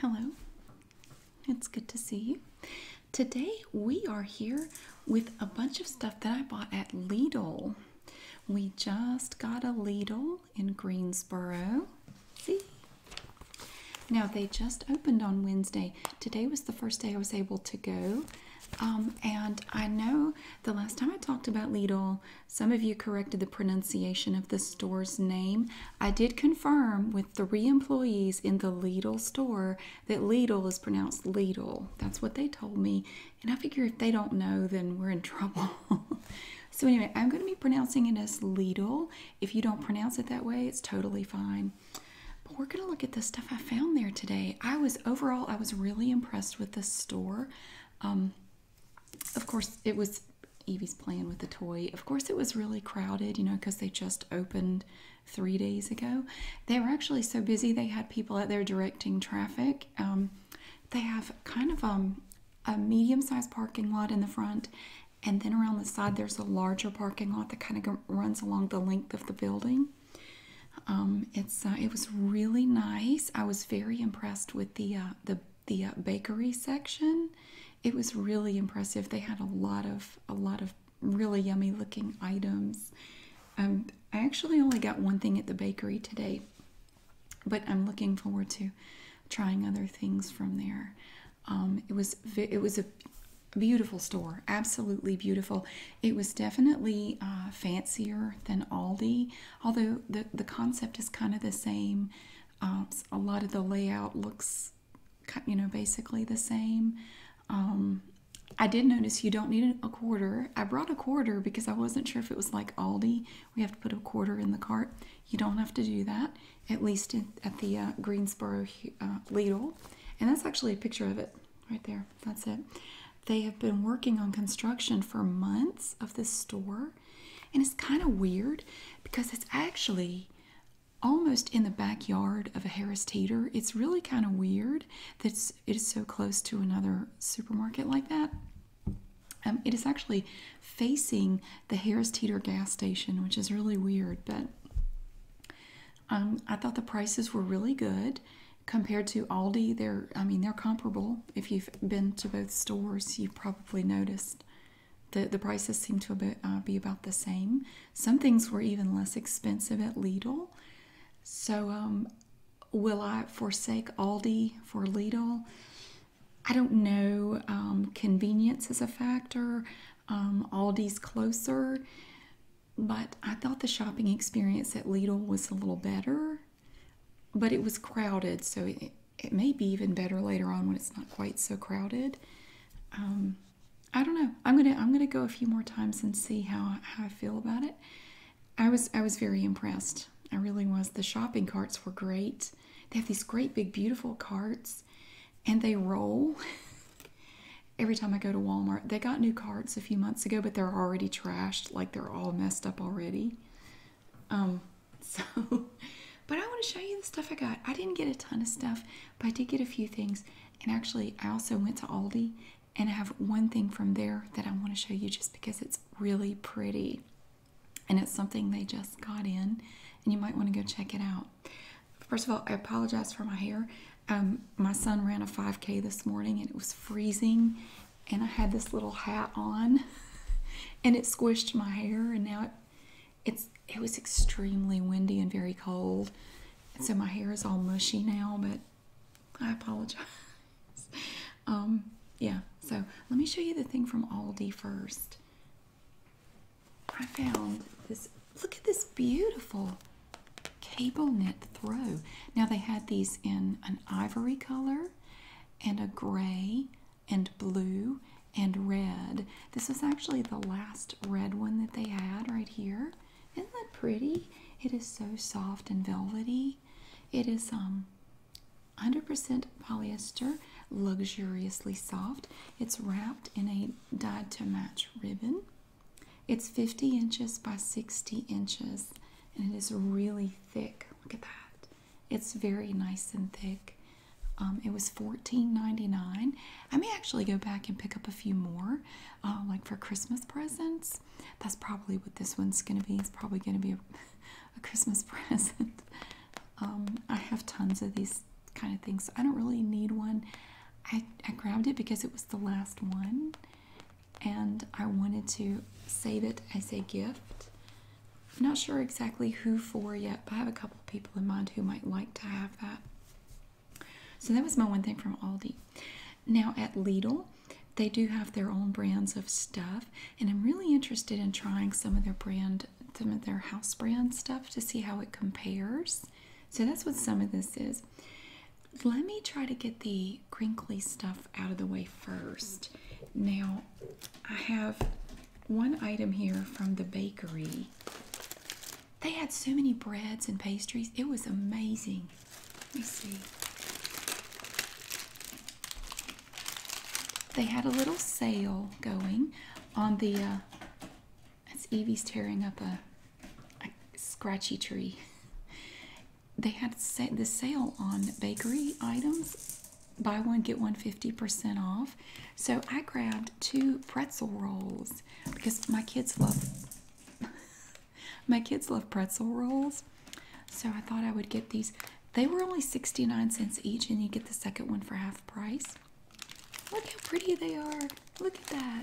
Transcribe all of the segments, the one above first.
Hello, it's good to see you. Today we are here with a bunch of stuff that I bought at Lidl. We just got a Lidl in Greensboro. See? Now they just opened on Wednesday. Today was the first day I was able to go. Um, and I know the last time I talked about Lidl, some of you corrected the pronunciation of the store's name. I did confirm with three employees in the Lidl store that Lidl is pronounced Lidl. That's what they told me. And I figure if they don't know, then we're in trouble. so, anyway, I'm going to be pronouncing it as Lidl. If you don't pronounce it that way, it's totally fine. But we're going to look at the stuff I found there today. I was overall, I was really impressed with the store. Um, of course, it was Evie's playing with the toy. Of course, it was really crowded, you know, because they just opened three days ago. They were actually so busy, they had people out there directing traffic. Um, they have kind of um, a medium sized parking lot in the front, and then around the side, there's a larger parking lot that kind of runs along the length of the building. Um, it's uh, it was really nice. I was very impressed with the uh, the the uh, bakery section it was really impressive. They had a lot of a lot of really yummy looking items. Um, I actually only got one thing at the bakery today, but I'm looking forward to trying other things from there. Um, it was it was a beautiful store, absolutely beautiful. It was definitely uh, fancier than Aldi, although the the concept is kind of the same. Um, a lot of the layout looks, you know, basically the same. Um, I did notice you don't need a quarter. I brought a quarter because I wasn't sure if it was like Aldi. We have to put a quarter in the cart. You don't have to do that, at least at the uh, Greensboro uh, Lidl. And that's actually a picture of it right there. That's it. They have been working on construction for months of this store. And it's kind of weird because it's actually almost in the backyard of a Harris Teeter. It's really kind of weird that it is so close to another supermarket like that. Um, it is actually facing the Harris Teeter gas station, which is really weird, but um, I thought the prices were really good compared to Aldi. They're, I mean, they're comparable. If you've been to both stores, you've probably noticed. The, the prices seem to uh, be, about the same. Some things were even less expensive at Lidl. So, um, will I forsake Aldi for Lidl? I don't know. Um, convenience is a factor. Um, Aldi's closer, but I thought the shopping experience at Lidl was a little better, but it was crowded, so it, it may be even better later on when it's not quite so crowded. Um, I don't know. I'm gonna I'm gonna go a few more times and see how how I feel about it. I was I was very impressed. I really was. The shopping carts were great. They have these great big beautiful carts, and they roll. Every time I go to Walmart, they got new carts a few months ago, but they're already trashed. Like they're all messed up already. Um, So, but I want to show you the stuff I got. I didn't get a ton of stuff, but I did get a few things. And actually, I also went to Aldi and I have one thing from there that I want to show you just because it's really pretty. And it's something they just got in, and you might want to go check it out. First of all, I apologize for my hair. Um, my son ran a 5K this morning and it was freezing, and I had this little hat on, and it squished my hair, and now it it's it was extremely windy and very cold so my hair is all mushy now but i apologize um yeah so let me show you the thing from aldi first i found this look at this beautiful cable knit throw now they had these in an ivory color and a gray and blue and red. This is actually the last red one that they had right here. Isn't that pretty? It is so soft and velvety. It is 100% um, polyester, luxuriously soft. It's wrapped in a dyed to match ribbon. It's 50 inches by 60 inches and it is really thick. Look at that. It's very nice and thick. Um, it was $14.99. I may actually go back and pick up a few more, uh, like for Christmas presents. That's probably what this one's going to be. It's probably going to be a, Christmas present. Um, I have tons of these kind of things. So I don't really need one. I grabbed it because it was the last one and I wanted to save it as a gift I'm not sure exactly who for yet, but I have a couple of people in mind who might like to have that. So that was my one thing from Aldi. Now at Lidl, they do have their own brands of stuff, and I'm really interested in trying some of their brand, some of their house brand stuff to see how it compares. So that's what some of this is. Let me try to get the crinkly stuff out of the way first. Now, I have one item here from the bakery. They had so many breads and pastries. It was amazing. Let me see. They had a little sale going on the. Uh, that's Evie's tearing up a, a scratchy tree. They had the sale on bakery items buy one get one fifty percent off so i grabbed two pretzel rolls because my kids love my kids love pretzel rolls so i thought i would get these they were only 69 cents each and you get the second one for half price look how pretty they are look at that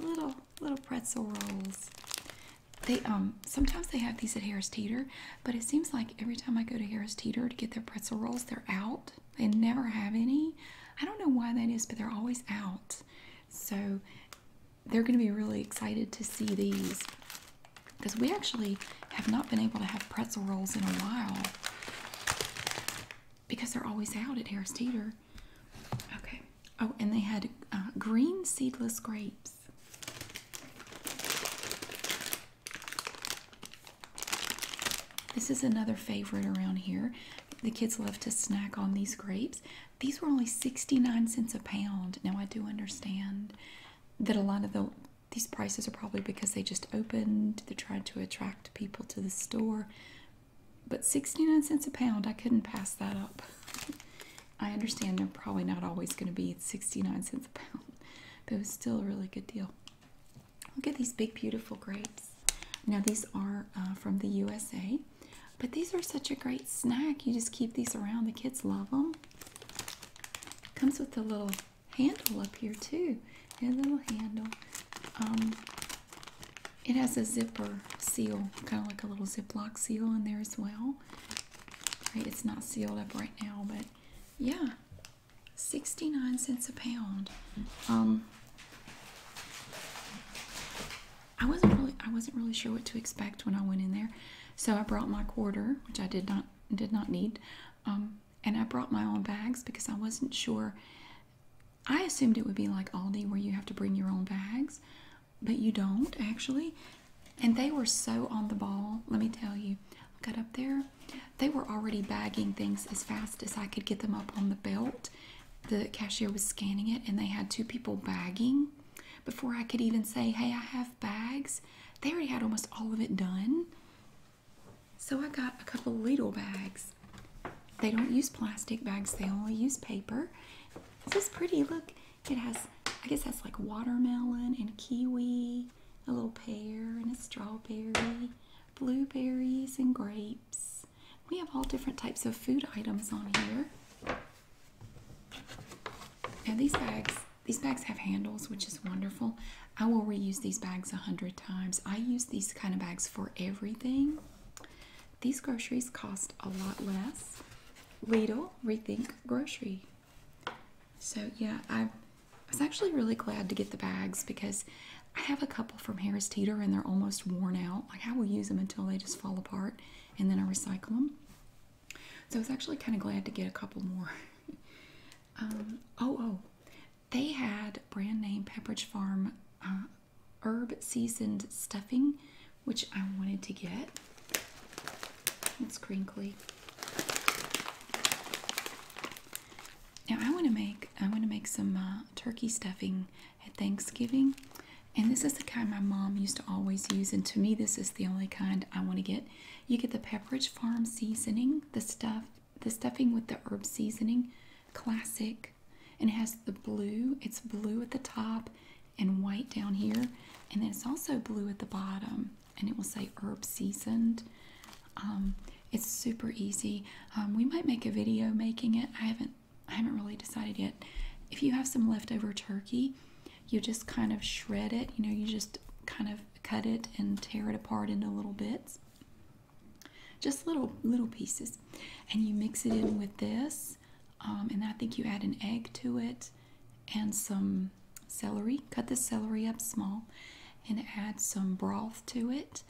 little little pretzel rolls they um sometimes they have these at harris teeter but it seems like every time i go to harris teeter to get their pretzel rolls they're out they never have any. I don't know why that is, but they're always out. So they're going to be really excited to see these because we actually have not been able to have pretzel rolls in a while because they're always out at Harris Teeter. Okay. Oh, and they had uh, green seedless grapes. This is another favorite around here. The kids love to snack on these grapes. These were only 69 cents a pound. Now, I do understand that a lot of these prices are probably because they just opened, they tried to attract people to the store. But 69 cents a pound, I couldn't pass that up. I understand they're probably not always going to be 69 cents a pound, but it was still a really good deal. Look at these big, beautiful grapes. Now, these are uh, from the USA, but these are such a great snack. You just keep these around. The kids love them. Comes with a little handle up here, too. A little handle. Um, it has a zipper seal, kind of like a little Ziploc seal in there as well. it's not sealed up right now, but yeah, 69 cents a pound. Um, I wasn't really I wasn't really sure what to expect when I went in there. So I brought my quarter, which I did not did not need. Um, and I brought my own bags because I wasn't sure I assumed it would be like Aldi where you have to bring your own bags, but you don't actually. And they were so on the ball, let me tell you got up there they were already bagging things as fast as i could get them up on the belt the cashier was scanning it and they had two people bagging before i could even say hey i have bags they already had almost all of it done so i got a couple of lidl bags they don't use plastic bags they only use paper this is pretty look it has i guess that's like watermelon and kiwi a little pear and a strawberry blueberries and grapes. We have all different types of food items on here. And these bags, these bags have handles, which is wonderful. I will reuse these bags a hundred times. I use these kind of bags for everything. These groceries cost a lot less. Lidl Rethink Grocery. So yeah, I I was actually really glad to get the bags because I have a couple from Harris Teeter and they're almost worn out. Like I will use them until they just fall apart and then I recycle them. So I was actually kind of glad to get a couple more. Um, oh, oh, they had brand name Pepperidge Farm uh, herb seasoned stuffing, which I wanted to get. It's crinkly. Now I want to make I want to make some uh, turkey stuffing at Thanksgiving, and this is the kind my mom used to always use. And to me, this is the only kind I want to get. You get the Pepperidge Farm seasoning, the stuff, the stuffing with the herb seasoning, classic, and it has the blue. It's blue at the top and white down here, and then it's also blue at the bottom, and it will say herb seasoned. Um, it's super easy. Um, we might make a video making it. I haven't I haven't really decided yet. If you have some leftover turkey, you just kind of shred it. You know, you just kind of cut it and tear it apart into little bits. Just little little pieces. And you mix it in with this. Um, and I think you add an egg to it and some celery. Cut the celery up small and add some broth to it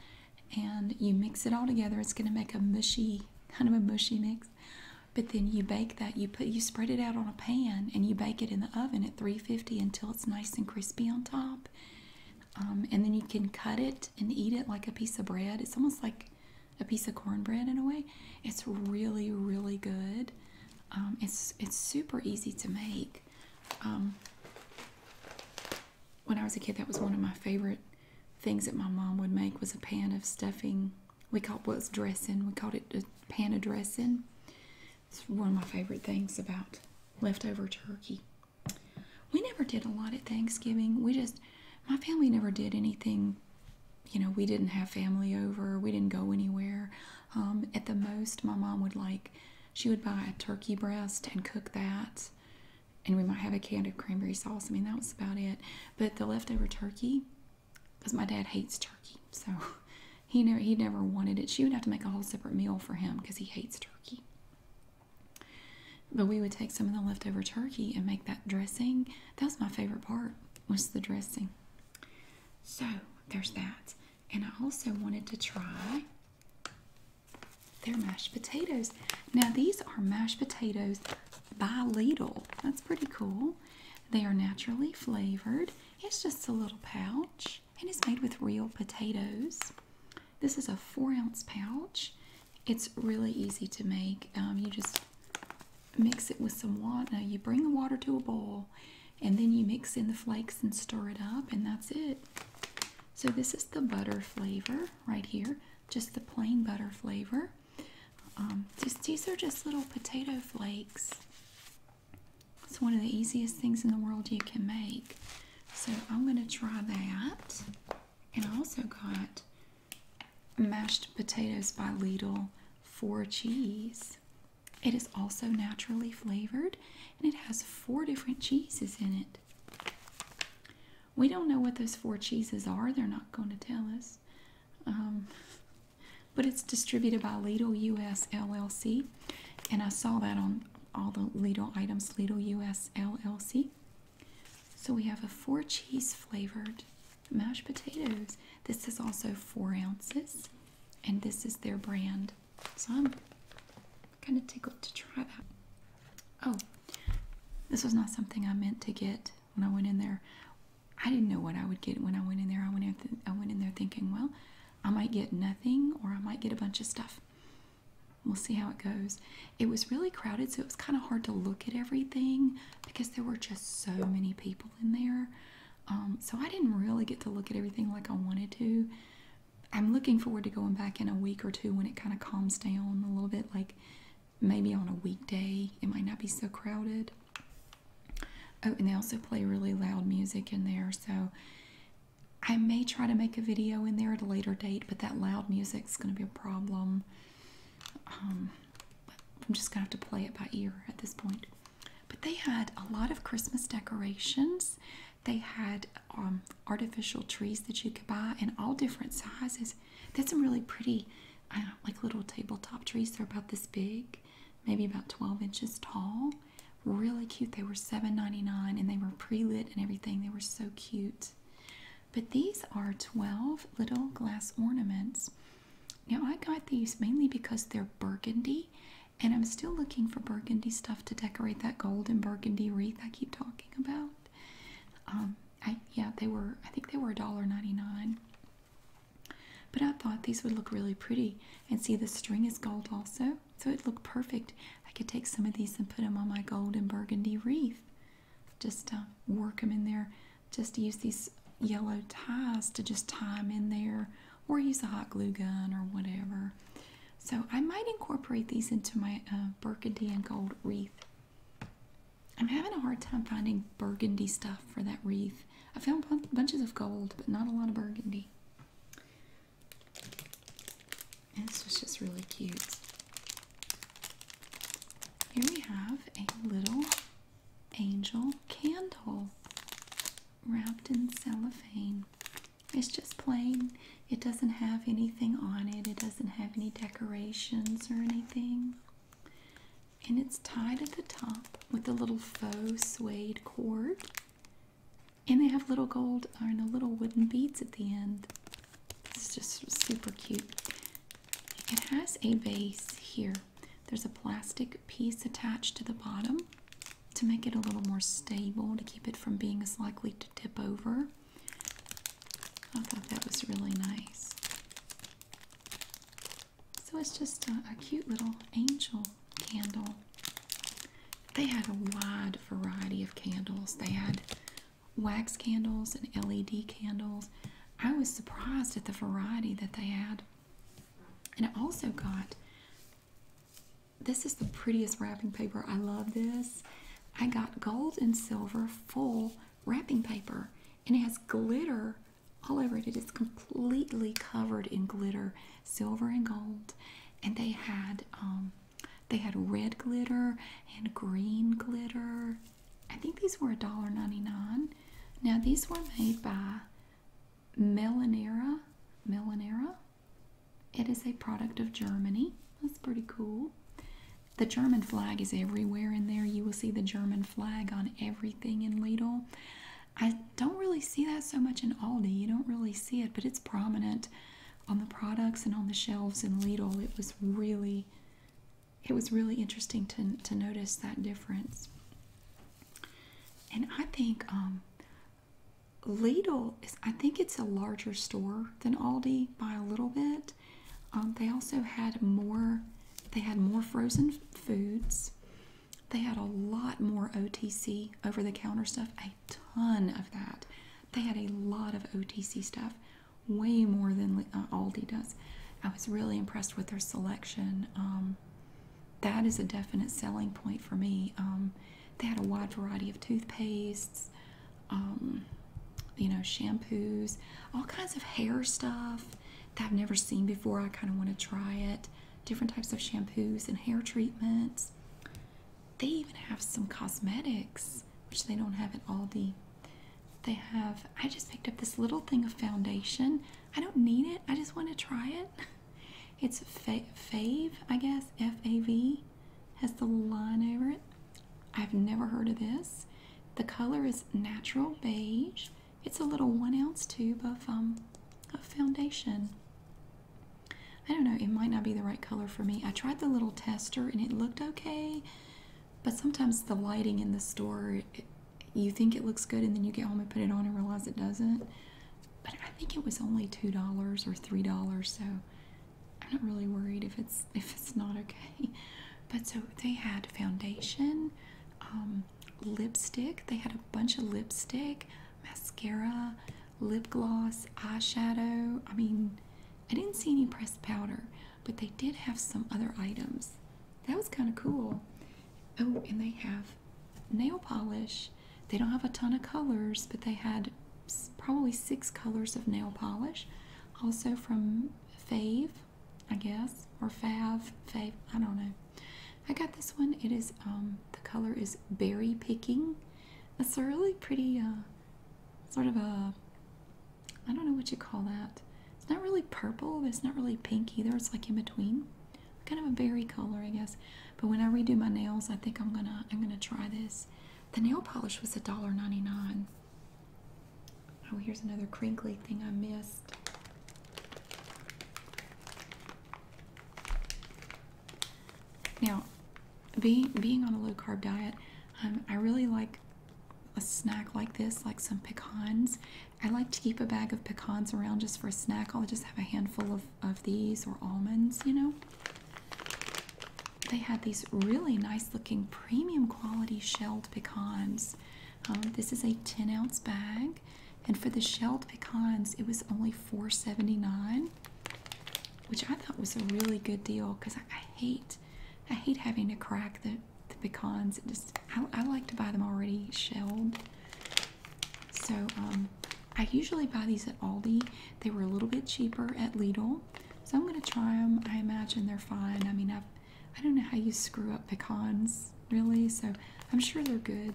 and you mix it all together. It's going to make a mushy, kind of a mushy mix. But then you bake that, you put you spread it out on a pan and you bake it in the oven at 350 until it's nice and crispy on top. Um, and then you can cut it and eat it like a piece of bread. It's almost like a piece of cornbread in a way. It's really, really good. Um, it's it's super easy to make. Um, when I was a kid, that was one of my favorite things that my mom would make was a pan of stuffing. We called it was dressing. We called it a pan of dressing. It's one of my favorite things about leftover turkey. We never did a lot at Thanksgiving. We just, my family never did anything. You know, we didn't have family over. We didn't go anywhere. Um, at the most, my mom would like she would buy a turkey breast and cook that. And we might have a can of cranberry sauce. I mean, that was about it. But the leftover turkey, because my dad hates turkey, so he never he never wanted it. She would have to make a whole separate meal for him because he hates turkey. But we would take some of the leftover turkey and make that dressing. That was my favorite part was the dressing. So there's that. And I also wanted to try they're mashed potatoes. Now, these are mashed potatoes by Lidl. That's pretty cool. They are naturally flavored. It's just a little pouch and it's made with real potatoes. This is a four ounce pouch. It's really easy to make. Um, you just mix it with some water. Now, you bring the water to a boil and then you mix in the flakes and stir it up, and that's it. So this is the butter flavor right here, just the plain butter flavor. Um, these are just little potato flakes. It's one of the easiest things in the world you can make. So I'm going to try that. And I also got mashed potatoes by Lidl for cheese. It is also naturally flavored and it has four different cheeses in it. We don't know what those four cheeses are. They're not going to tell us. Um, but it's distributed by Lidl US LLC. And I saw that on all the Lidl items, Lidl US LLC. So we have a four cheese flavored mashed potatoes. This is also four ounces. And this is their brand. So I'm kind of tickled to try that. Oh, this was not something I meant to get when I went in there. I didn't know what I would get when I went in there. I went in, I went in there thinking, well, I might get nothing or I might get a bunch of stuff. We'll see how it goes. It was really crowded, so it was kind of hard to look at everything because there were just so many people in there. Um, so I didn't really get to look at everything like I wanted to. I'm looking forward to going back in a week or two when it kind of calms down a little bit. Like maybe on a weekday, it might not be so crowded. Oh, and they also play really loud music in there. So I may try to make a video in there at a later date, but that loud music is going to be a problem. Um, I'm just going to have to play it by ear at this point. But they had a lot of Christmas decorations. They had um, artificial trees that you could buy in all different sizes. They had some really pretty, like little tabletop trees. They're about this big, maybe about 12 inches tall. Really cute. They were $7.99 and they were pre-lit and everything. They were so cute. But these are 12 little glass ornaments. Now I got these mainly because they're burgundy and I'm still looking for burgundy stuff to decorate that gold and burgundy wreath I keep talking about. Um, I yeah, they were. I think they were a dollar ninety nine. But I thought these would look really pretty, and see the string is gold also, so it looked perfect. I could take some of these and put them on my gold and burgundy wreath. Just uh, work them in there. Just use these yellow ties to just tie them in there, or use a hot glue gun or whatever. So I might incorporate these into my uh, burgundy and gold wreath. I'm having a hard time finding burgundy stuff for that wreath. I found bunches of gold, but not a lot of burgundy. this was just really cute. Here we have a little angel candle wrapped in cellophane. It's just plain. It doesn't have anything on it. It doesn't have any decorations or anything. And it's tied at the top with a little faux suede cord. And they have little gold or no little wooden beads at the end. It's just super cute. It has a base here. There's a plastic piece attached to the bottom to make it a little more stable to keep it from being as likely to tip over. I thought that was really nice. So it's just a, cute little angel candle. They had a wide variety of candles. They had wax candles and LED candles. I was surprised at the variety that they had. And I also got this is the prettiest wrapping paper. I love this. I got gold and silver full wrapping paper, and it has glitter all over it. It is completely covered in glitter, silver and gold. And they had um, they had red glitter and green glitter. I think these were a dollar ninety nine. Now these were made by Melanera. Melanera? It is a product of Germany. That's pretty cool. The German flag is everywhere in there. You will see the German flag on everything in Lidl. I don't really see that so much in Aldi. You don't really see it, but it's prominent on the products and on the shelves in Lidl. It was really it was really interesting to, to notice that difference. And I think um, Lidl is, I think it's a larger store than Aldi by a little bit. Um, they also had more, they had more frozen foods. They had a lot more OTC over the counter stuff, a ton of that. They had a lot of OTC stuff, way more than uh, Aldi does. I was really impressed with their selection. Um, that is a definite selling point for me. Um, they had a wide variety of toothpastes, um, you know, shampoos, all kinds of hair stuff that I've never seen before. I kind of want to try it. Different types of shampoos and hair treatments. They even have some cosmetics, which they don't have at Aldi. They have, I just picked up this little thing of foundation. I don't need it, I just want to try it. It's Fave, I guess, F A V has the line over it. I've never heard of this. The color is natural beige. It's a little one ounce tube of, um, of foundation. I don't know, it might not be the right color for me. I tried the little tester and it looked okay, but sometimes the lighting in the store, you think it looks good and then you get home and put it on and realize it doesn't. But I think it was only $2 or $3, so I'm not really worried if it's if it's not okay. But so they had foundation, um, lipstick. They had a bunch of lipstick, mascara, lip gloss, eyeshadow. I mean, I didn't see any pressed powder, but they did have some other items. That was kind of cool. Oh, and they have nail polish. They don't have a ton of colors, but they had probably six colors of nail polish. Also from Fave, I guess, or Fav, Fave, I don't know. I got this one. It is, um, the color is Berry Picking. It's a really pretty, uh, sort of a, I don't know what you call that. It's not really purple, it's not really pink either. It's like in between. Kind of a berry color, I guess. But when I redo my nails, I think I'm gonna, I'm gonna try this. The nail polish was $1.99. Oh, here's another crinkly thing I missed. Now, being being on a low carb diet, um, I really like a snack like this, like some pecans. I like to keep a bag of pecans around just for a snack. I'll just have a handful of, of these or almonds, you know they had these really nice looking premium quality shelled pecans. Um, this is a 10 ounce bag, and for the shelled pecans, it was only $4.79, which I thought was a really good deal because I, hate, I hate having to crack the pecans. It just I, like to buy them already shelled. So um, I usually buy these at Aldi. They were a little bit cheaper at Lidl. So I'm gonna try them. I imagine they're fine. I mean, I I don't know how you screw up pecans really, so I'm sure they're good.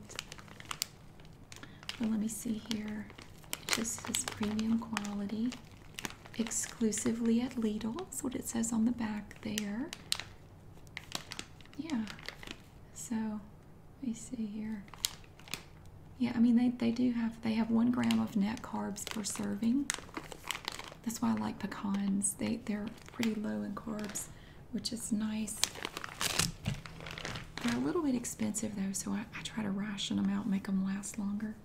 But let me see here. just says premium quality, exclusively at Lidl. That's what it says on the back there. Yeah. So let me see here. Yeah, I mean they they do have they have one gram of net carbs per serving. That's why I like pecans. They they're pretty low in carbs, which is nice. They're a little bit expensive though, so I, I try to ration them out, and make them last longer.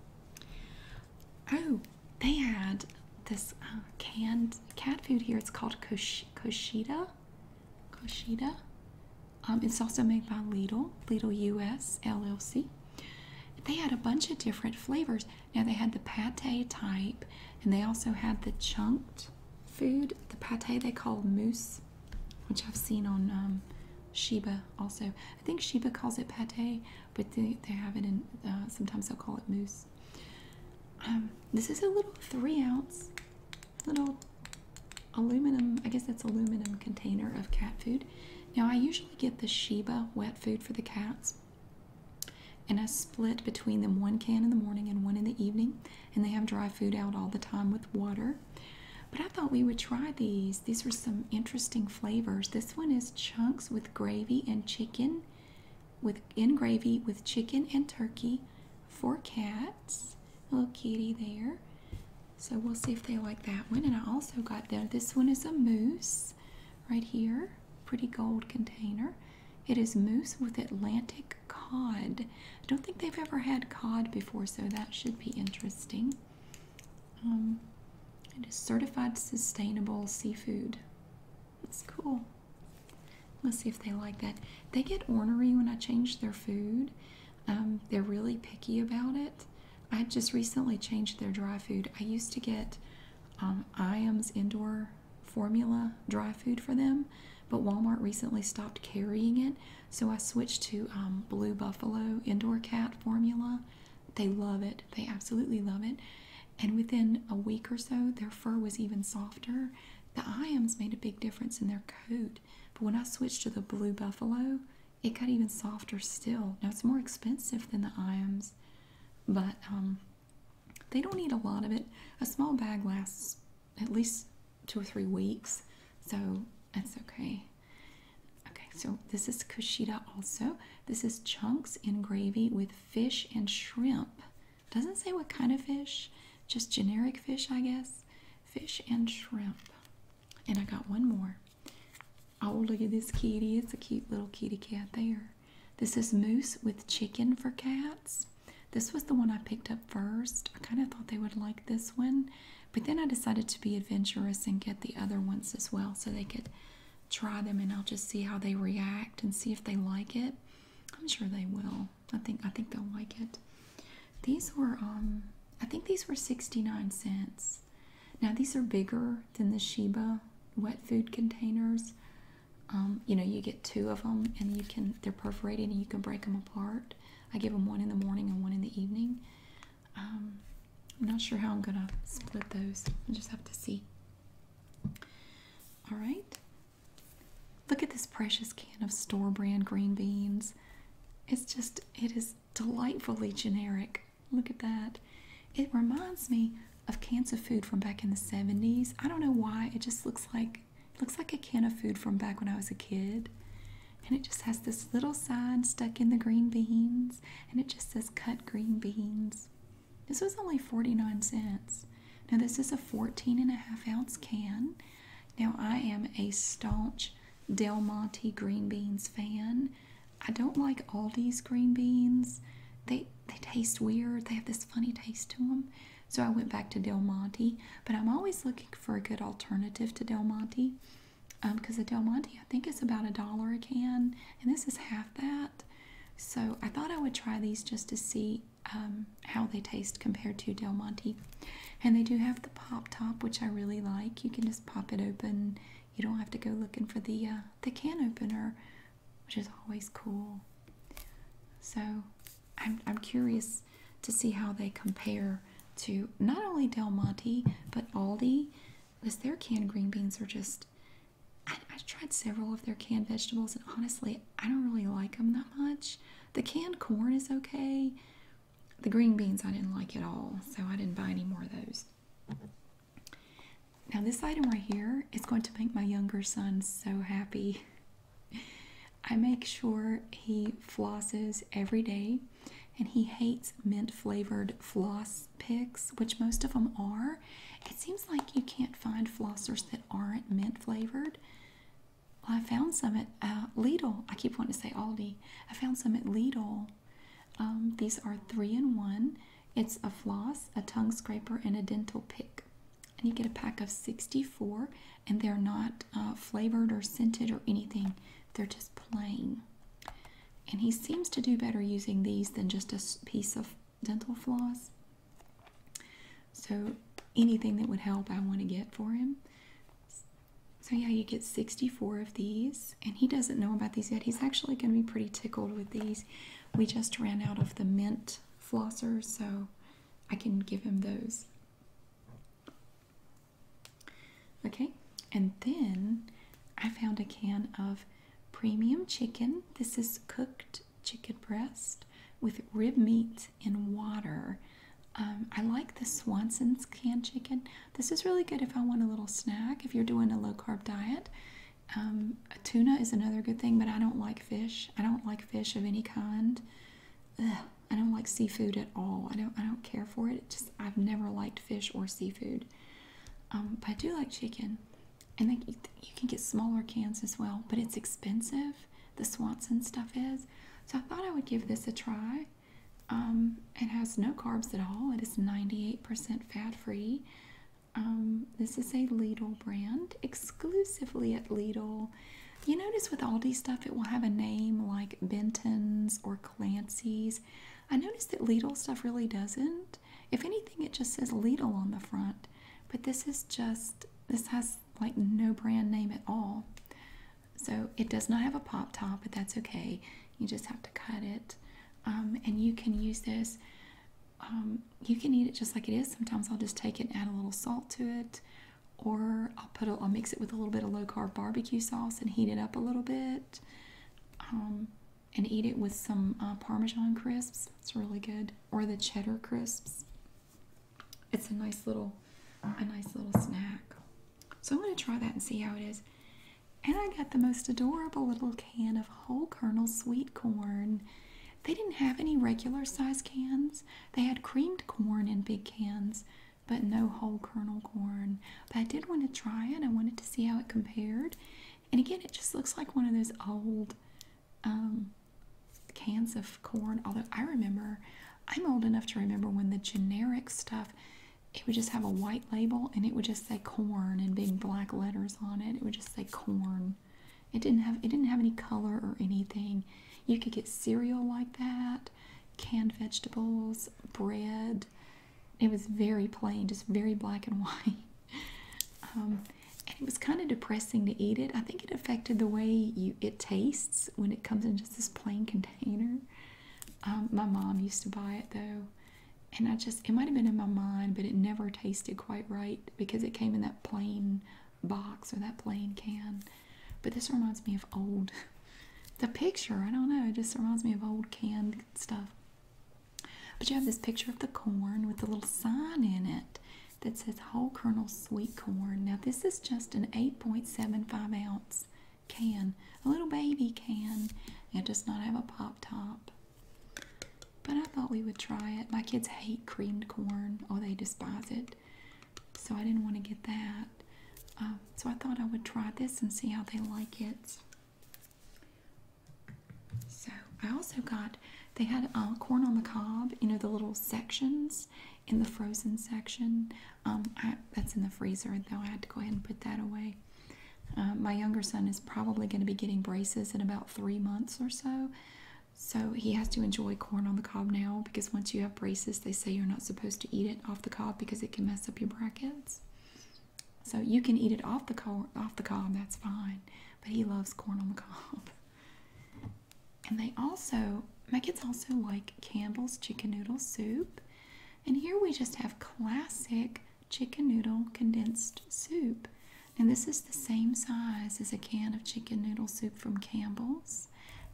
Oh, they had this uh, canned cat food here. It's called Kosh Koshida. Koshida. Um, it's also made by Lidl, Lidl US LLC. They had a bunch of different flavors. Now they had the pate type, and they also had the chunked food. The pate they call moose, which I've seen on um, Sheba also. I think Sheba calls it pate, but they, have it in, uh, sometimes they'll call it moose. Um, this is a little three ounce little aluminum, I guess that's aluminum container of cat food. Now, I usually get the Sheba wet food for the cats, and I split between them one can in the morning and one in the evening, and they have dry food out all the time with water. But I thought we would try these. These are some interesting flavors. This one is chunks with gravy and chicken, with in gravy with chicken and turkey for cats. Little kitty there. So we'll see if they like that one. And I also got there. This one is a moose, right here. Pretty gold container. It is moose with Atlantic cod. I don't think they've ever had cod before, so that should be interesting. Um, it is certified sustainable seafood. That's cool. Let's see if they like that. They get ornery when I change their food. Um, they're really picky about it. I just recently changed their dry food. I used to get um, IAM's indoor formula dry food for them, but Walmart recently stopped carrying it, so I switched to um, Blue Buffalo indoor cat formula. They love it, they absolutely love it. And within a week or so, their fur was even softer. The IAMs made a big difference in their coat, but when I switched to the Blue Buffalo, it got even softer still. Now it's more expensive than the IAMS, but um, they don't need a lot of it. A small bag lasts at least two or three weeks, so that's okay. Okay, so this is kushida also. This is chunks in gravy with fish and shrimp. Doesn't say what kind of fish, just generic fish, I guess. Fish and shrimp. And I got one more. Oh, look at this kitty. It's a cute little kitty cat there. This is Moose with Chicken for Cats. This was the one I picked up first. I kind of thought they would like this one, but then I decided to be adventurous and get the other ones as well so they could try them and I'll just see how they react and see if they like it. I'm sure they will. I think I think they'll like it. These were um I think these were 69 cents. Now, these are bigger than the Sheba wet food containers. Um, you know, you get two of them and you can, they're perforated and you can break them apart. I give them one in the morning and one in the evening. Um, I'm not sure how I'm going to split those. I just have to see. All right. Look at this precious can of store brand green beans. It's just, it is delightfully generic. Look at that. It reminds me of cans of food from back in the 70s. I don't know why. It just looks like it looks like a can of food from back when I was a kid. And it just has this little sign stuck in the green beans. And it just says cut green beans. This was only 49 cents. Now this is a 14 and a half ounce can. Now I am a staunch Del Monte green beans fan. I don't like all these green beans. They they taste weird. They have this funny taste to them. So I went back to Del Monte, but I'm always looking for a good alternative to Del Monte because um, the Del Monte I think is about a dollar a can, and this is half that. So I thought I would try these just to see um, how they taste compared to Del Monte. And they do have the pop top, which I really like. You can just pop it open, you don't have to go looking for the uh, the can opener, which is always cool. So I'm I'm curious to see how they compare to not only Del Monte but Aldi, because their canned green beans are just. I, tried several of their canned vegetables, and honestly, I don't really like them that much. The canned corn is okay. The green beans I didn't like at all, so I didn't buy any more of those. Now, this item right here is going to make my younger son so happy. I make sure he flosses every day, and he hates mint flavored floss picks, which most of them are. It seems like you can't find flossers that aren't mint flavored. Well, I found some at uh, Lidl. I keep wanting to say Aldi. I found some at Lidl um, these are three in one. It's a floss, a tongue scraper, and a dental pick. And you get a pack of 64, and they're not uh, flavored or scented or anything. They're just plain. And he seems to do better using these than just a piece of dental floss. So anything that would help, I want to get for him. So yeah, you get 64 of these and he doesn't know about these yet. He's actually going to be pretty tickled with these. We just ran out of the mint flosser, so I can give him those. Okay, and then I found a can of premium chicken. This is cooked chicken breast with rib meat in water. Um, I like the Swanson's canned chicken, this is really good if I want a little snack, if you're doing a low carb diet. Um, tuna is another good thing, but I don't like fish. I don't like fish of any kind. Ugh, I don't like seafood at all. I don't. I don't care for it. just I've never liked fish or seafood. Um, I do like chicken, and you can get smaller cans as well. But it's expensive. The Swanson stuff is. So I thought I would give this a try. Um, it has no carbs at all. It is 98% fat free. this is a Lidl brand, exclusively at Lidl. You notice with Aldi stuff, it will have a name like Benton's or Clancy's. I noticed that Lidl stuff really doesn't. If anything, it just says Lidl on the front. But this is just, this has like no brand name at all. So it does not have a pop top, but that's okay. You just have to cut it. Um, and you can use this. Um, you can eat it just like it is. Sometimes I'll just take it and add a little salt to it, or I'll put a, I'll mix it with a little bit of low carb barbecue sauce and heat it up a little bit, um, and eat it with some uh, Parmesan crisps. It's really good, or the cheddar crisps. It's a nice little, a nice little snack. So I'm going to try that and see how it is. And I got the most adorable little can of whole kernel sweet corn. They didn't have any regular size cans. They had creamed corn in big cans, but no whole kernel corn. But I did want to try it. I wanted to see how it compared. And again, it just looks like one of those old um, cans of corn. Although I remember, I'm old enough to remember when the generic stuff it would just have a white label and it would just say corn in big black letters on it. It would just say corn. It didn't have it didn't have any color or anything. You could get cereal like that, canned vegetables, bread. It was very plain, just very black and white. Um, and it was kind of depressing to eat it. I think it affected the way you it tastes when it comes into this plain container. Um, my mom used to buy it though and I just it might have been in my mind, but it never tasted quite right because it came in that plain box or that plain can. But this reminds me of old the picture, I don't know, it just reminds me of old canned stuff. But you have this picture of the corn with the little sign in it that says whole kernel sweet corn. Now this is just an 8.75 ounce can, a little baby can. It does not have a pop top. But I thought we would try it. My kids hate creamed corn. or oh, they despise it. So I didn't want to get that. Um, so I thought I would try this and see how they like it. So I also got, they had uh, corn on the cob, you know, the little sections in the frozen section. Um, that's in the freezer, though I had to go ahead and put that away. Uh, my younger son is probably going to be getting braces in about three months or so. So he has to enjoy corn on the cob now because once you have braces, they say you're not supposed to eat it off the cob because it can mess up your brackets. So you can eat it off the off the cob, that's fine. But he loves corn on the cob. And they also, my kids also like Campbell's chicken noodle soup. And here we just have classic chicken noodle condensed soup. And this is the same size as a can of chicken noodle soup from Campbell's.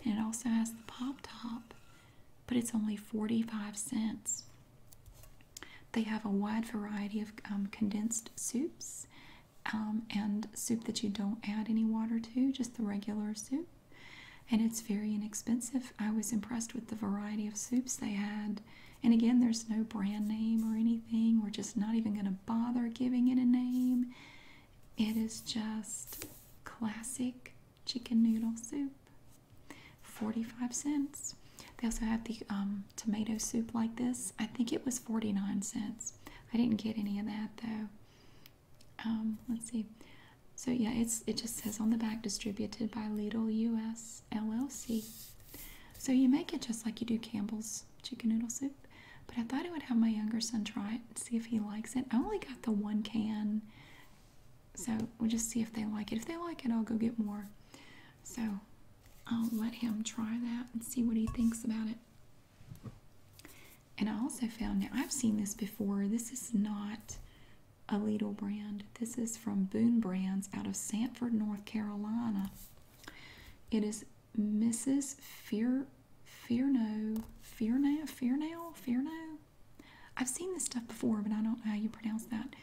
And it also has the pop top, but it's only 45 cents. They have a wide variety of um, condensed soups um, and soup that you don't add any water to, just the regular soup. And it's very inexpensive. I was impressed with the variety of soups they had. And again, there's no brand name or anything. We're just not even going to bother giving it a name. It is just classic chicken noodle soup. 45 cents. They also have the um, tomato soup like this. I think it was 49 cents. I didn't get any of that though. Um, let's see. So yeah, it just says on the back distributed by Lidl US. LLC. So you make it just like you do Campbell's chicken noodle soup, but I thought I would have my younger son try it and see if he likes it. I only got the one can, so we'll just see if they like it. If they like it, I'll go get more. So I'll let him try that and see what he thinks about it. And I also found now I've seen this before. This is not a Alito brand. This is from Boone Brands out of Sanford, North Carolina. It is Mrs. Fear Fearno Fearno Fearno Fearno. I've seen this stuff before, but I don't know how you pronounce that.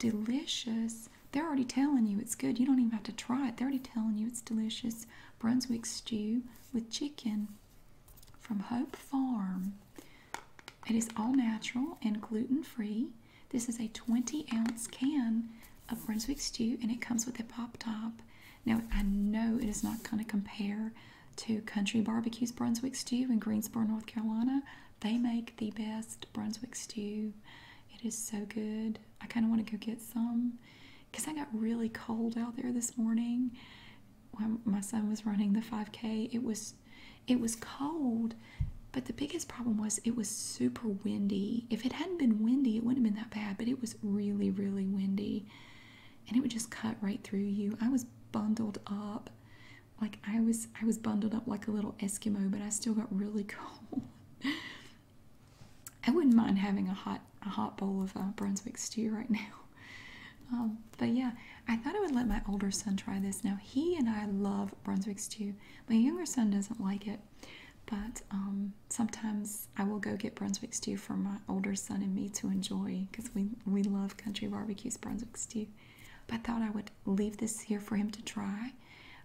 Delicious. They're already telling you it's good. You don't even have to try it. They're already telling you it's delicious. Brunswick stew with chicken from Hope Farm. It is all natural and gluten free. This is a 20 ounce can of Brunswick stew and it comes with a pop top. Now, I know it is not going to compare to Country Barbecue's Brunswick stew in Greensboro, North Carolina. They make the best Brunswick stew. It is so good. I kind of want to go get some because I got really cold out there this morning. When my son was running the 5K, it was it was cold, but the biggest problem was it was super windy. If it hadn't been windy, it wouldn't have been that bad, but it was really, really windy. And it would just cut right through you. I was bundled up. Like I was I was bundled up like a little Eskimo, but I still got really cold. I wouldn't mind having a hot a hot bowl of uh, Brunswick stew right now. Um, but yeah, I thought I would let my older son try this. Now he and I love Brunswick stew. My younger son doesn't like it, but um, sometimes I will go get Brunswick stew for my older son and me to enjoy because we, we love Country Barbecue's Brunswick stew. But I thought I would leave this here for him to try.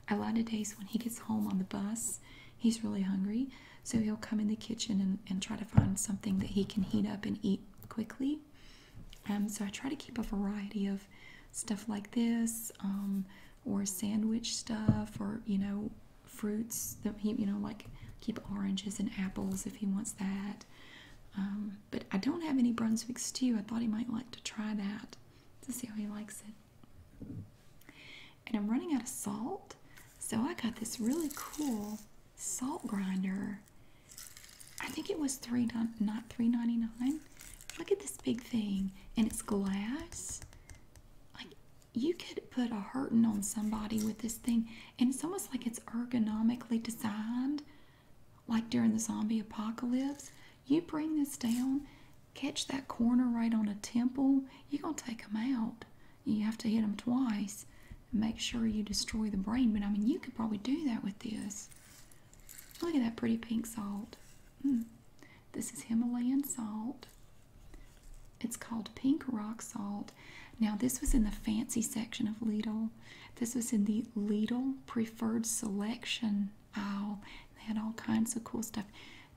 A lot of days when he gets home on the bus, he's really hungry, so he'll come in the kitchen and, and try to find something that he can heat up and eat quickly. Um, so I try to keep a variety of stuff like this, um, or sandwich stuff, or you know, fruits that he, you know, like keep oranges and apples if he wants that. Um, but I don't have any Brunswick stew. I thought he might like to try that to see how he likes it. And I'm running out of salt, so I got this really cool salt grinder. I think it was three not three ninety nine. Look at this big thing, and it's glass. Like you could put a hurting on somebody with this thing, and it's almost like it's ergonomically designed. Like during the zombie apocalypse, you bring this down, catch that corner right on a temple. You're gonna take them out. You have to hit them twice. And make sure you destroy the brain. But I mean, you could probably do that with this. Look at that pretty pink salt. Hmm. This is Himalayan salt. It's called pink rock salt. Now, this was in the fancy section of Lidl. This was in the Lidl preferred selection aisle. They had all kinds of cool stuff.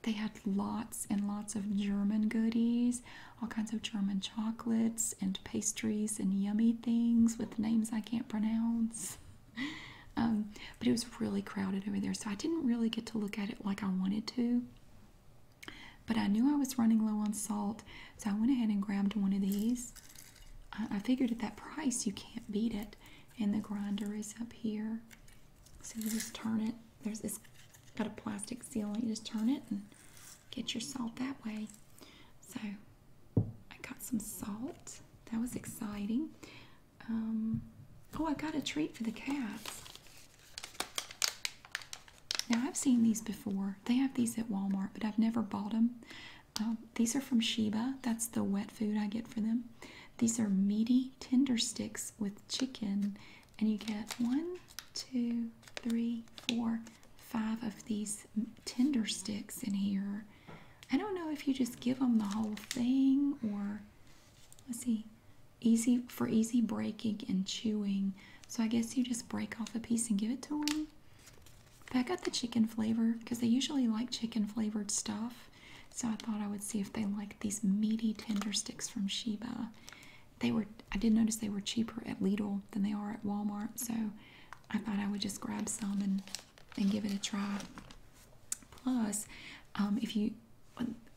They had lots and lots of German goodies, all kinds of German chocolates and pastries and yummy things with names I can't pronounce. Um, but it was really crowded over there, so I didn't really get to look at it like I wanted to. But I knew I was running low on salt, so I went ahead and grabbed one of these. I, figured at that price you can't beat it, and the grinder is up here. So you just turn it. There's this got a plastic seal You just turn it and get your salt that way. So I got some salt. That was exciting. Um, oh, I got a treat for the cats. Now, I've seen these before. They have these at Walmart, but I've never bought them. Um, these are from Sheba. That's the wet food I get for them. These are meaty tender sticks with chicken, and you get one, two, three, four, five of these tender sticks in here. I don't know if you just give them the whole thing or let's see easy for easy breaking and chewing. So I guess you just break off a piece and give it to them. But I got the chicken flavor because they usually like chicken flavored stuff. So I thought I would see if they like these meaty tender sticks from Sheba. They were I did notice they were cheaper at Lidl than they are at Walmart, so I thought I would just grab some and and give it a try. Plus, um, if you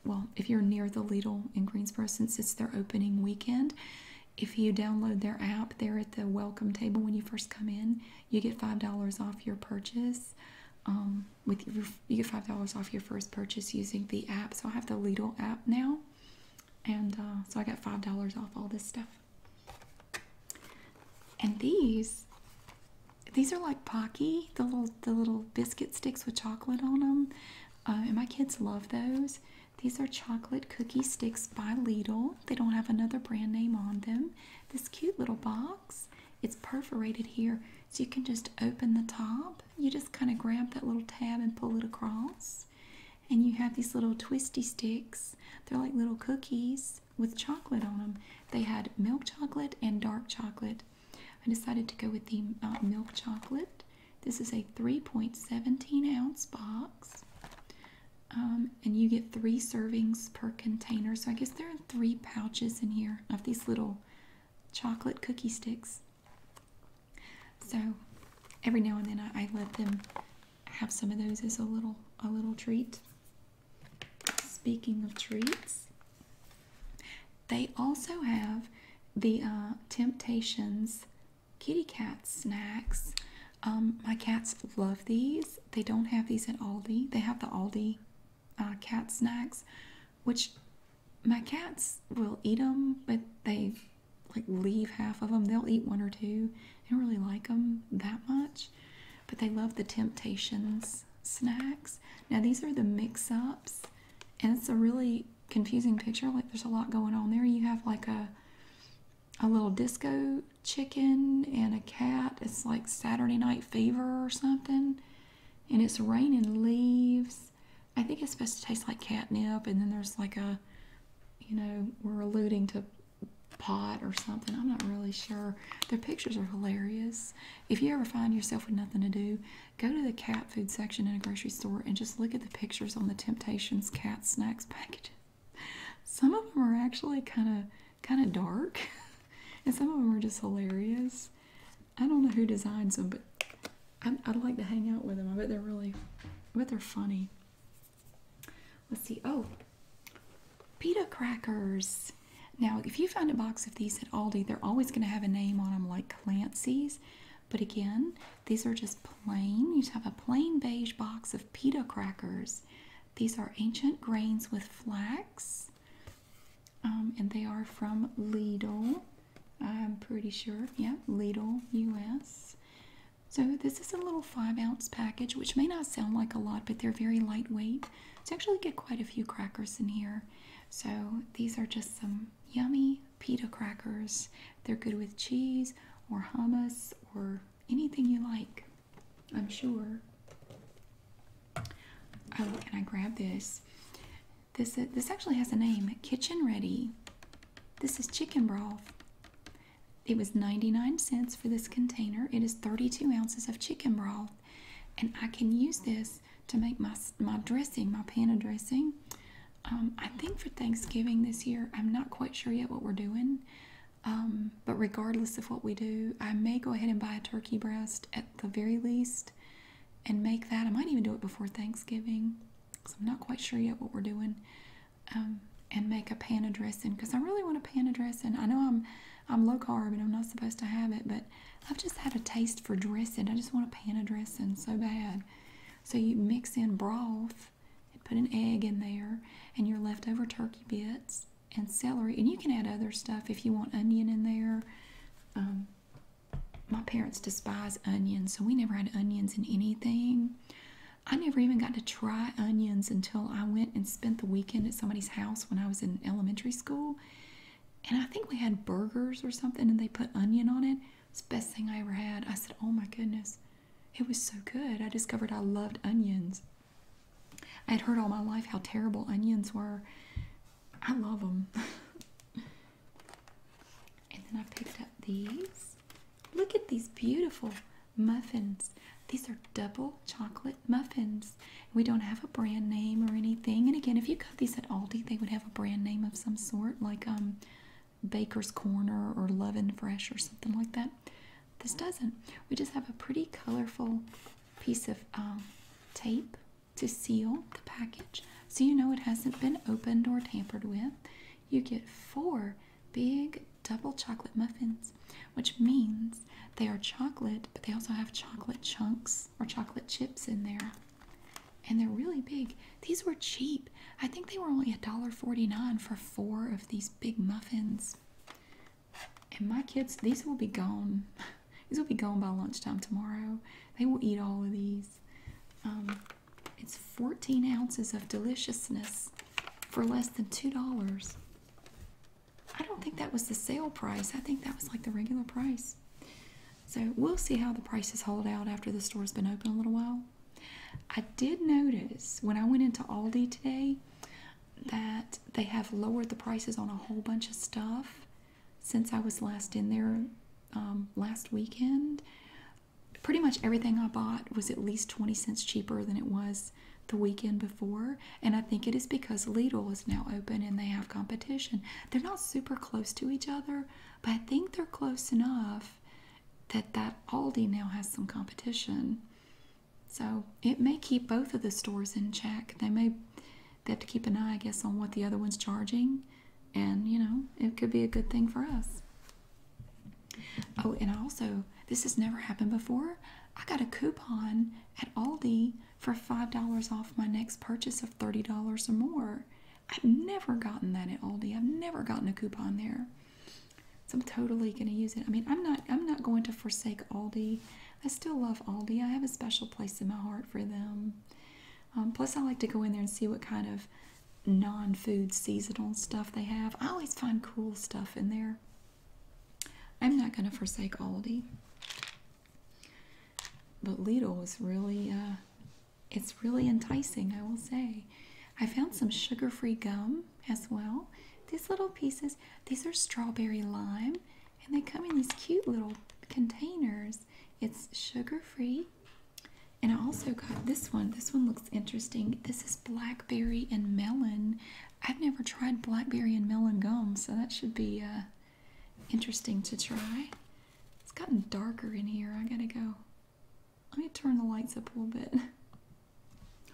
well, if you're near the Lidl in Greensboro, since it's their opening weekend, if you download their app there at the welcome table when you first come in, you get five dollars off your purchase. Um, with your, you get five dollars off your first purchase using the app. So I have the Lidl app now, and uh, so I got five dollars off all this stuff. And these, these are like Pocky, the little the little biscuit sticks with chocolate on them, uh, and my kids love those. These are chocolate cookie sticks by Lidl. They don't have another brand name on them. This cute little box. It's perforated here, so you can just open the top. You just kind of grab that little tab and pull it across. And you have these little twisty sticks. They're like little cookies with chocolate on them. They had milk chocolate and dark chocolate. I decided to go with the uh, milk chocolate. This is a 3.17 ounce box. Um, and you get three servings per container. So I guess there are three pouches in here of these little chocolate cookie sticks. So every now and then I, I let them have some of those as a little a little treat. Speaking of treats, they also have the uh, Temptations kitty cat snacks. Um, my cats love these. They don't have these at Aldi. They have the Aldi uh, cat snacks, which my cats will eat them, but they like leave half of them. They'll eat one or two. They don't really like them that much, but they love the Temptations snacks. Now these are the mix-ups, and it's a really confusing picture. Like there's a lot going on there. You have like a a little disco chicken and a cat. It's like Saturday Night Fever or something. And it's raining leaves. I think it's supposed to taste like catnip. And then there's like a, you know, we're alluding to pot or something. I'm not really sure. Their pictures are hilarious. If you ever find yourself with nothing to do, go to the cat food section in a grocery store and just look at the pictures on the Temptations cat snacks package. Some of them are actually kind of kind of dark, and some of them are just hilarious. I don't know who designs them, but I'd, I'd like to hang out with them. I bet they're really, I bet they're funny. Let's see. Oh, Pita crackers. Now, if you find a box of these at Aldi, they're always going to have a name on them like Clancy's. But again, these are just plain. You just have a plain beige box of pita crackers. These are ancient grains with flax. Um, and they are from Lidl. I'm pretty sure. Yeah, Lidl, US. So this is a little five ounce package, which may not sound like a lot, but they're very lightweight. So, actually, get quite a few crackers in here. So, these are just some yummy pita crackers. They're good with cheese or hummus or anything you like, I'm sure. Oh, can I grab this. This this actually has a name, Kitchen Ready. This is chicken broth. It was 99 cents for this container. It is 32 ounces of chicken broth and I can use this to make my my dressing, my panna dressing. Um, I think for Thanksgiving this year, I'm not quite sure yet what we're doing. Um, but regardless of what we do, I may go ahead and buy a turkey breast at the very least and make that. I might even do it before Thanksgiving because I'm not quite sure yet what we're doing. Um, and make a panna dressing because I really want a panna dressing. I know I'm I'm low carb and I'm not supposed to have it, but I've just had a taste for dressing. I just want a pan of dressing so bad. So you mix in broth and put an egg in there and your leftover turkey bits and celery. And you can add other stuff if you want onion in there. Um, my parents despise onions, so we never had onions in anything. I never even got to try onions until I went and spent the weekend at somebody's house when I was in elementary school and I think we had burgers or something and they put onion on it. It's the best thing I ever had. I said, Oh my goodness, it was so good. I discovered I loved onions. I had heard all my life how terrible onions were. I love them. and then I picked up these. Look at these beautiful muffins. These are double chocolate muffins. We don't have a brand name or anything. And again, if you got these at Aldi, they would have a brand name of some sort, like um, Baker's Corner or Love Fresh or something like that. This doesn't. We just have a pretty colorful piece of um, tape to seal the package so you know it hasn't been opened or tampered with. You get four big double chocolate muffins, which means they are chocolate, but they also have chocolate chunks or chocolate chips in there. And they're really big. These were cheap. I think they were only $1.49 for four of these big muffins. And my kids, these will be gone. These will be gone by lunchtime tomorrow. They will eat all of these. Um, it's 14 ounces of deliciousness for less than $2. I don't think that was the sale price. I think that was like the regular price. So we'll see how the prices hold out after the store's been open a little while. I did notice when I went into Aldi today that they have lowered the prices on a whole bunch of stuff since I was last in there um, last weekend. Pretty much everything I bought was at least 20 cents cheaper than it was the weekend before and I think it is because Lidl is now open and they have competition. They're not super close to each other, but I think they're close enough that that Aldi now has some competition. So it may keep both of the stores in check. They may they have to keep an eye, I guess, on what the other one's charging, and you know it could be a good thing for us. Oh, and also, this has never happened before. I got a coupon at Aldi for $5 off my next purchase of $30 or more. I've never gotten that at Aldi. I've never gotten a coupon there. So I'm totally going to use it. I mean, I'm not I'm not going to forsake Aldi. I still love Aldi. I have a special place in my heart for them. Um, plus, I like to go in there and see what kind of non-food seasonal stuff they have. I always find cool stuff in there. I'm not going to forsake Aldi. But Lidl is really, uh, it's really enticing, I will say. I found some sugar-free gum as well. These little pieces, these are strawberry lime, and they come in these cute little containers. It's sugar-free. And I also got this one. This one looks interesting. This is blackberry and melon. I've never tried blackberry and melon gum, so that should be uh, interesting to try. It's gotten darker in here. I gotta go. Let me turn the lights up a little bit.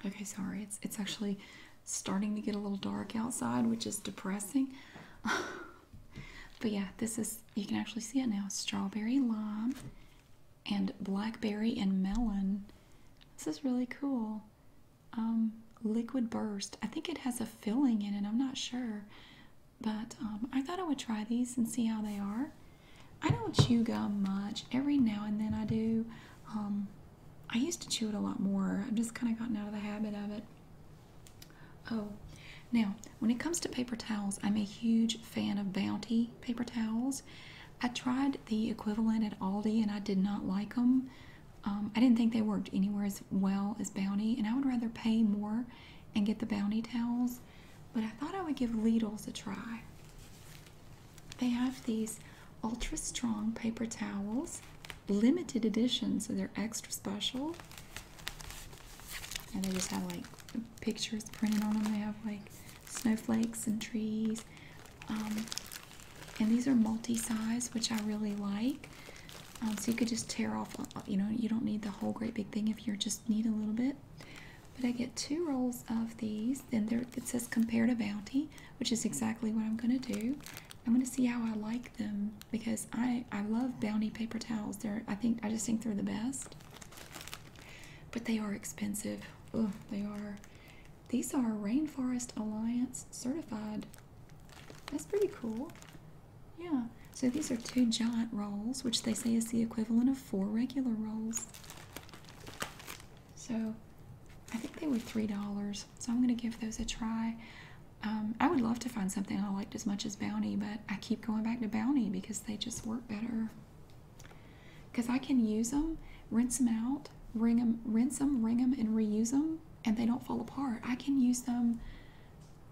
Okay, sorry. It's it's actually starting to get a little dark outside, which is depressing. but yeah, this is you can actually see it now. Strawberry lime and blackberry and melon. This is really cool. Um, liquid burst. I think it has a filling in it. I'm not sure, but um, I thought I would try these and see how they are. I don't chew gum much. Every now and then I do. Um, I used to chew it a lot more. I've just kind of gotten out of the habit of it. Oh, now when it comes to paper towels, I'm a huge fan of Bounty paper towels. I tried the equivalent at Aldi and I did not like them. Um, I didn't think they worked anywhere as well as Bounty, and I would rather pay more and get the Bounty towels, but I thought I would give Lidl's a try. They have these ultra strong paper towels, limited edition, so they're extra special. And they just have like pictures printed on them. They have like snowflakes and trees. Um, and these are multi size, which I really like. Um, so you could just tear off, uh, you know, you don't need the whole great big thing if you just need a little bit. But I get two rolls of these. Then there it says compare to Bounty, which is exactly what I'm going to do. I'm going to see how I like them because I I love Bounty paper towels. They're I think I just think they're the best. But they are expensive. Oh, they are. These are Rainforest Alliance certified that's pretty cool. Yeah. So these are two giant rolls, which they say is the equivalent of four regular rolls. So I think they were $3. So I'm going to give those a try. Um, I would love to find something I liked as much as Bounty, but I keep going back to Bounty because they just work better. Because I can use them, rinse them out, ring them, rinse them, wring them, and reuse them and they don't fall apart. I can use them.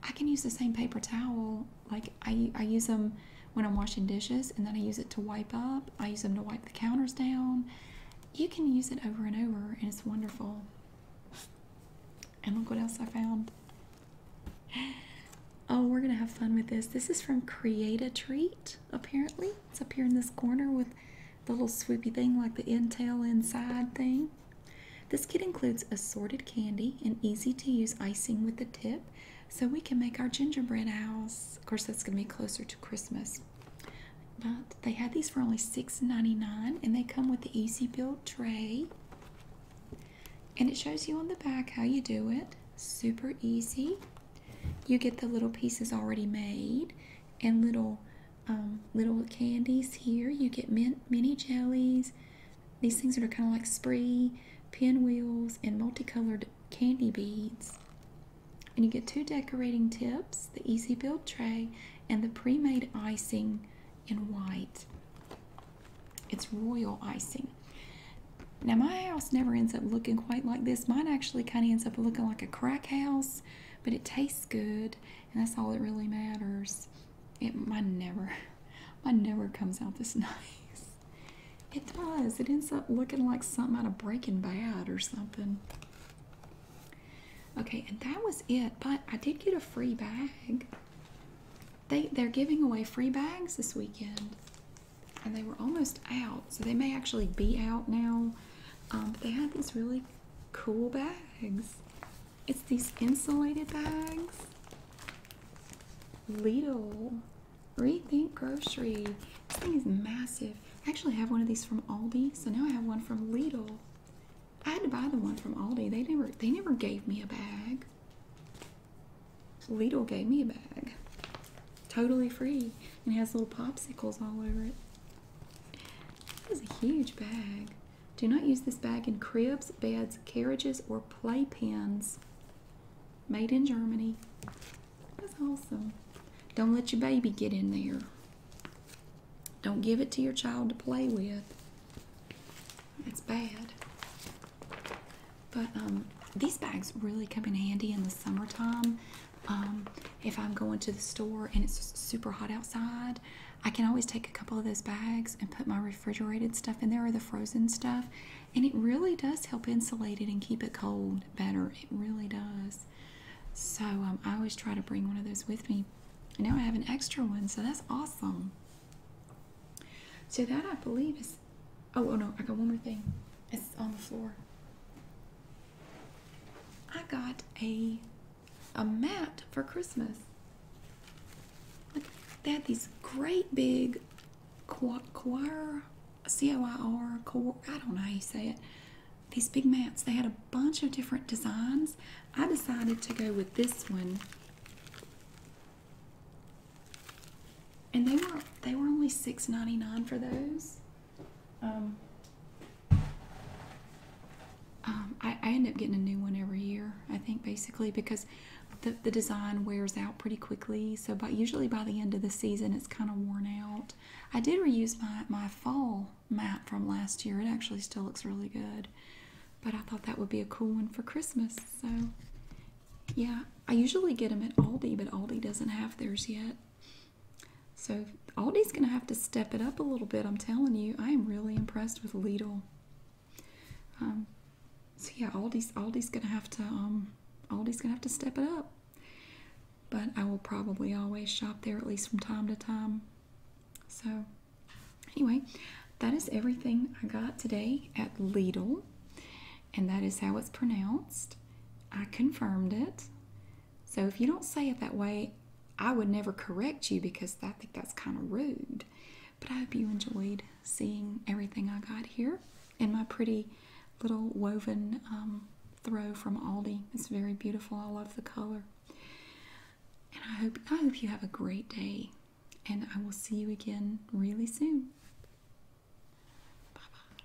I can use the same paper towel. Like I, I use them when I'm washing dishes, and then I use it to wipe up. I use them to wipe the counters down. You can use it over and over, and it's wonderful. And look what else I found. Oh, we're gonna have fun with this. This is from Create a Treat, apparently. It's up here in this corner with the little swoopy thing like the intail inside thing. This kit includes assorted candy and easy to use icing with the tip so we can make our gingerbread house. Of course, that's going to be closer to Christmas. But they had these for only $6.99 and they come with the easy build tray. And it shows you on the back how you do it. Super easy. You get the little pieces already made and little um, little candies here. You get min mini jellies, these things that are kind of like spree, pinwheels, and multicolored candy beads. And you get two decorating tips the easy build tray and the pre made icing in white. It's royal icing. Now, my house never ends up looking quite like this. Mine actually kind of ends up looking like a crack house, but it tastes good and that's all it really matters. It might never, might never comes out this nice. It does. It ends up looking like something out of Breaking Bad or something. Okay, and that was it. But I did get a free bag. They they're giving away free bags this weekend, and they were almost out, so they may actually be out now. Um, but they had these really cool bags. It's these insulated bags. Lidl. Rethink Grocery. This thing is massive. I actually have one of these from Aldi, so now I have one from Lidl. I had to buy the one from Aldi. They never they never gave me a bag. Lidl gave me a bag. Totally free. And it has little popsicles all over it. That is a huge bag. Do not use this bag in cribs, beds, carriages, or playpens. Made in Germany. That's awesome. Don't let your baby get in there. Don't give it to your child to play with. It's bad. But um, these bags really come in handy in the summertime. Um, if I'm going to the store and it's super hot outside, I can always take a couple of those bags and put my refrigerated stuff in there or the frozen stuff. And it really does help insulate it and keep it cold better. It really does. So um, I always try to bring one of those with me. And now I have an extra one, so that's awesome. So that I believe is. oh, oh no, I got one more thing. It's on the floor. I got a a mat for Christmas. they had these great big choir, choir C O I R, choir, I don't know how you say it. These big mats. They had a bunch of different designs. I decided to go with this one. And they were they were only $6.99 for those. Um, um, I, end up getting a new one every year, I think, basically, because the, design wears out pretty quickly. So, by, usually by the end of the season, it's kind of worn out. I did reuse my, my fall mat from last year. It actually still looks really good. But I thought that would be a cool one for Christmas. So, yeah, I usually get them at Aldi, but Aldi doesn't have theirs yet. So Aldi's going to have to step it up a little bit, I'm telling you. I am really impressed with Lidl well. Um, so yeah, Aldi's Aldi's gonna have to um, Aldi's gonna have to step it up. But I will probably always shop there at least from time to time. So anyway, that is everything I got today at Lidl, and that is how it's pronounced. I confirmed it. So if you don't say it that way, I would never correct you because I think that's kind of rude. But I hope you enjoyed seeing everything I got here and my pretty little woven um, throw from Aldi. It's very beautiful. I love the color. And I hope I hope you have a great day. And I will see you again really soon. Bye bye.